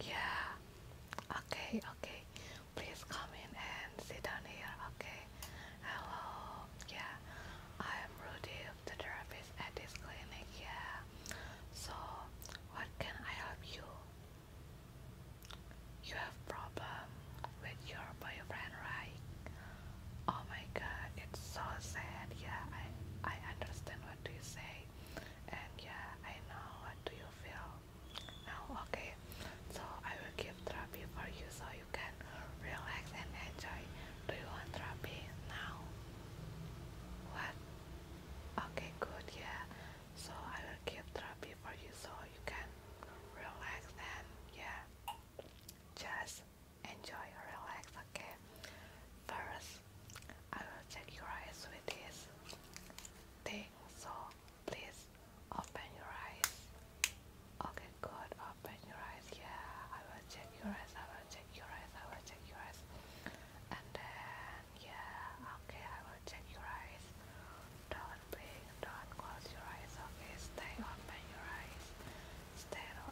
Yeah. Okay, okay. Please come in and sit down here, okay? Hello. Yeah. I am Rudy, the therapist at this clinic. Yeah. So, what can I help you? You have problem with your boyfriend, right? Oh my god, it's so sad. Yeah, I I understand what you say and yeah I know what do you feel now okay so I will give therapy for you so you can relax and enjoy do you want therapy now what okay good yeah so I will give therapy for you so you can relax and yeah just enjoy relax okay first I will check your eyes with this thing, so please open your eyes. Okay, good. Open your eyes. Yeah, I will check your eyes. I will check your eyes. I will check your eyes. And then, yeah, okay, I will check your eyes. Don't blink. Don't close your eyes. Okay, stay open your eyes. Stay open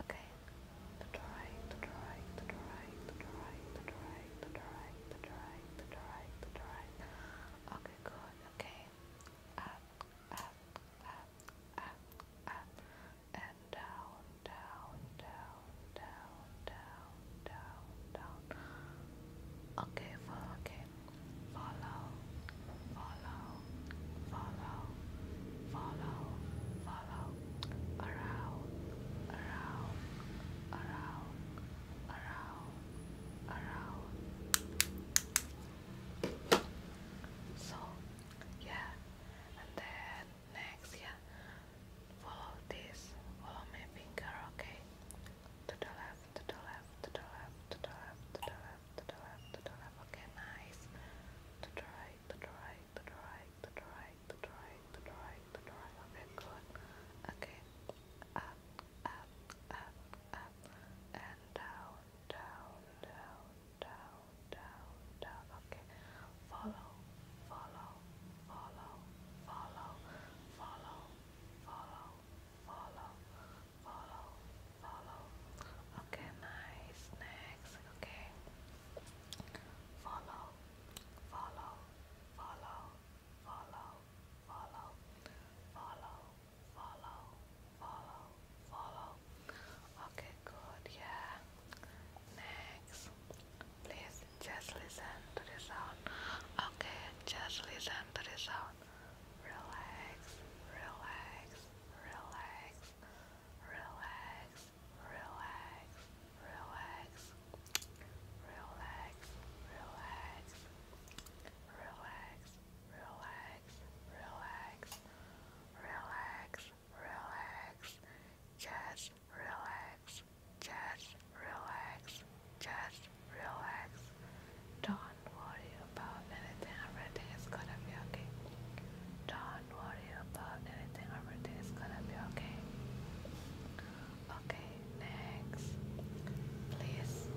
Okay. the right, the right, the right, the right, the right, the right, the right, the right, the right. Okay, good. Okay. Up, up, up, up, up. And down, down, down, down, down, down, down. Okay, follow again follow, follow, follow, follow, follow, around, around, around, around, around. So, yeah, and then next, yeah, follow this, follow my finger, okay? To the left, to the left, to the left, to the left, to the left left, to the left, to the left. Okay, nice. To the right, to the right, to the right, to the right, to the right, to the right, to the right. Okay, good. Okay, up, up, up, up, and down, down, down, down, down, down. Okay, follow, follow, follow, follow, follow, follow, follow. Follow, follow. Okay, nice. Next, okay. Follow, follow, follow, follow, follow, follow, follow, follow, follow. Okay, good. Yeah. Next, please just listen to the sound. Okay, just listen to the sound relax, relax, relax, relax, relax, relax, relax, relax, relax, relax, relax, relax, relax, just relax, just relax, just relax. Don't worry about anything, everything is gonna be okay. Don't worry about anything, everything is gonna be okay. Okay, next. Please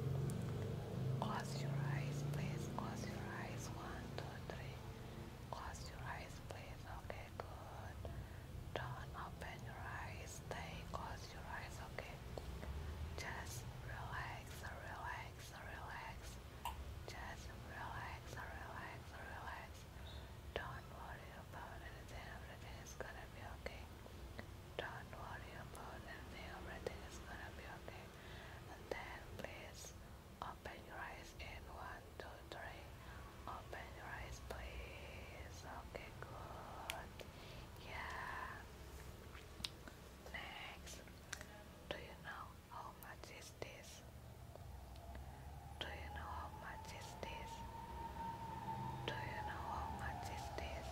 close your eyes, please close your eyes. One, two, three. Close your eyes, please. Okay, good. Don't open your eyes. Stay close your eyes, okay? Just relax, relax relax, relax. relax, relax, relax. Don't worry about anything. Everything is gonna be okay. Don't worry about anything. Everything is gonna be okay. And then please open your eyes in one, two, three. Open your eyes, please. Okay, good. Yeah. Next, do you know how much is this? Do you know how much is this? Do you know how much is this?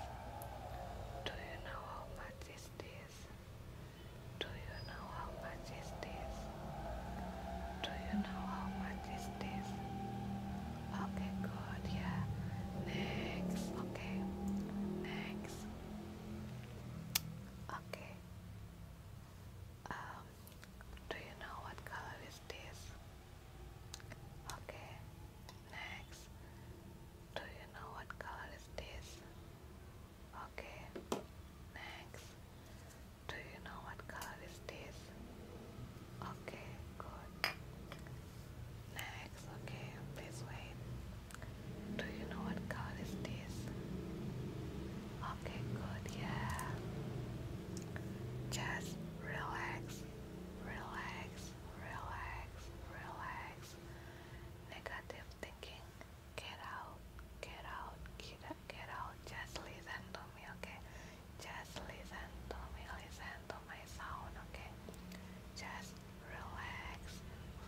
Do you know how much is this? Do you know how much is this? Do you know how much is this? Okay, good, yeah. Next, okay. Next, Okay. Um, do you know what color is this? Okay. Next. Do you know what color is this? Okay. Next. Do you know what color is this? Okay, good. Next, okay, please wait. Do you know what card is this? Okay, good, yeah. Just relax, relax, relax, relax. Negative thinking, get out, get out, get out, get out. Just listen to me, okay? Just listen to me, listen to my sound, okay? Just relax,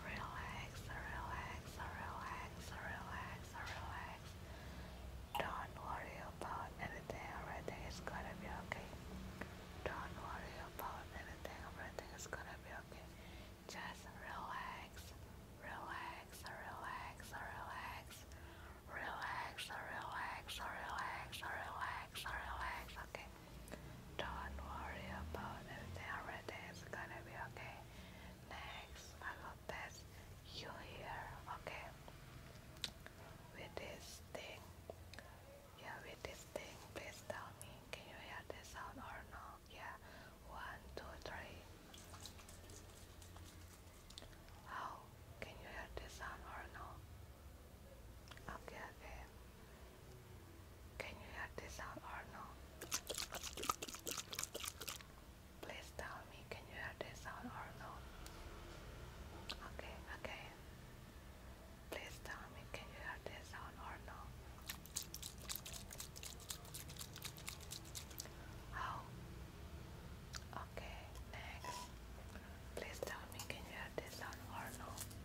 relax, relax, relax, relax, relax. Don't worry about anything, everything is gonna be okay. Don't worry about anything, everything is gonna be okay. Just relax, relax, relax, relax, relax, relax, relax, relax, relax, okay. Don't worry about everything. Everything is gonna be okay. Next, I will test you here, okay? With this thing. Yeah, with this thing, please tell me. Can you hear the sound or no? Yeah. One, two, three. How? Can you hear the sound or no? Okay, okay. Can you hear this sound or no? Please tell me, can you hear this sound or no? Okay, okay. Please tell me, can you hear this sound or no? Oh. Okay, next. Please tell me, can you hear this sound or no?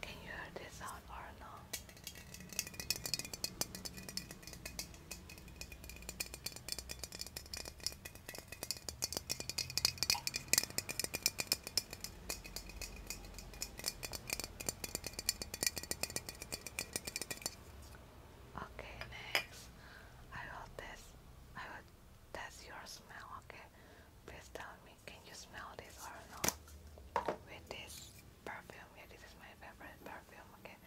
Can you hear this sound or not? Okay, next I will test I will test your smell, okay? Please tell me can you smell this or no? With this perfume, yeah, this is my favorite perfume. Okay,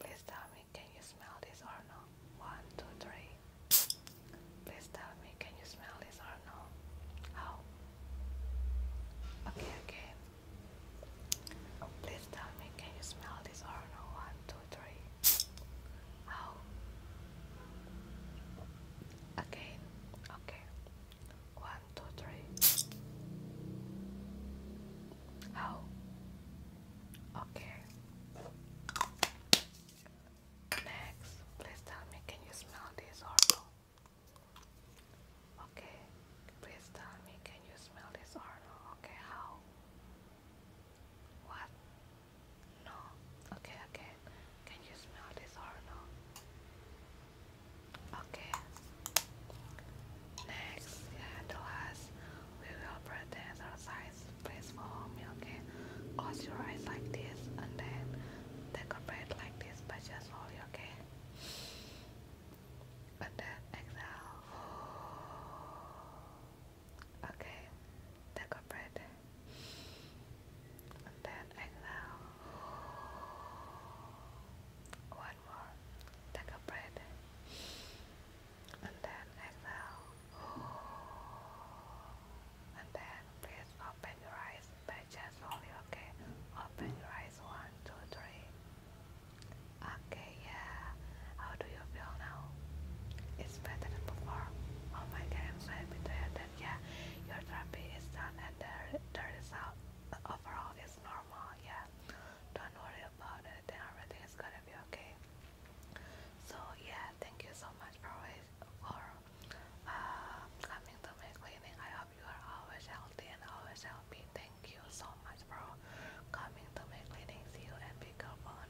please tell me, can you smell this or no? One, two, three. Please tell me, can you smell this or no? How? Okay, okay. Please tell me, can you smell this or no? One, two, three. How? Again, okay. One, two, three. Oh. Okay. Next, please tell me can you smell this or no? Okay. Please tell me can you smell this or no? Okay, how? What? No. Okay, okay. Can you smell this or no? Okay. Next, the last, we will pretend exercise space for me, okay? Close your eyes like this and then take a breath like this, but just slowly, okay? And then exhale. Okay, take a breath. With that exhale. One more. Take a breath. And then exhale. And then please open your eyes by just only okay. Open your eyes. One, two, three. Okay, yeah. How do you feel now? It's better than before. Oh my god, I'm so happy to have yeah, your therapy done and the, the result overall is normal. Yeah, don't worry about it. Then everything is gonna be okay. So yeah, thank you so much for for uh, coming to my cleaning. I hope you are always healthy and always happy. Thank you so much for coming to my cleaning. See you and be careful on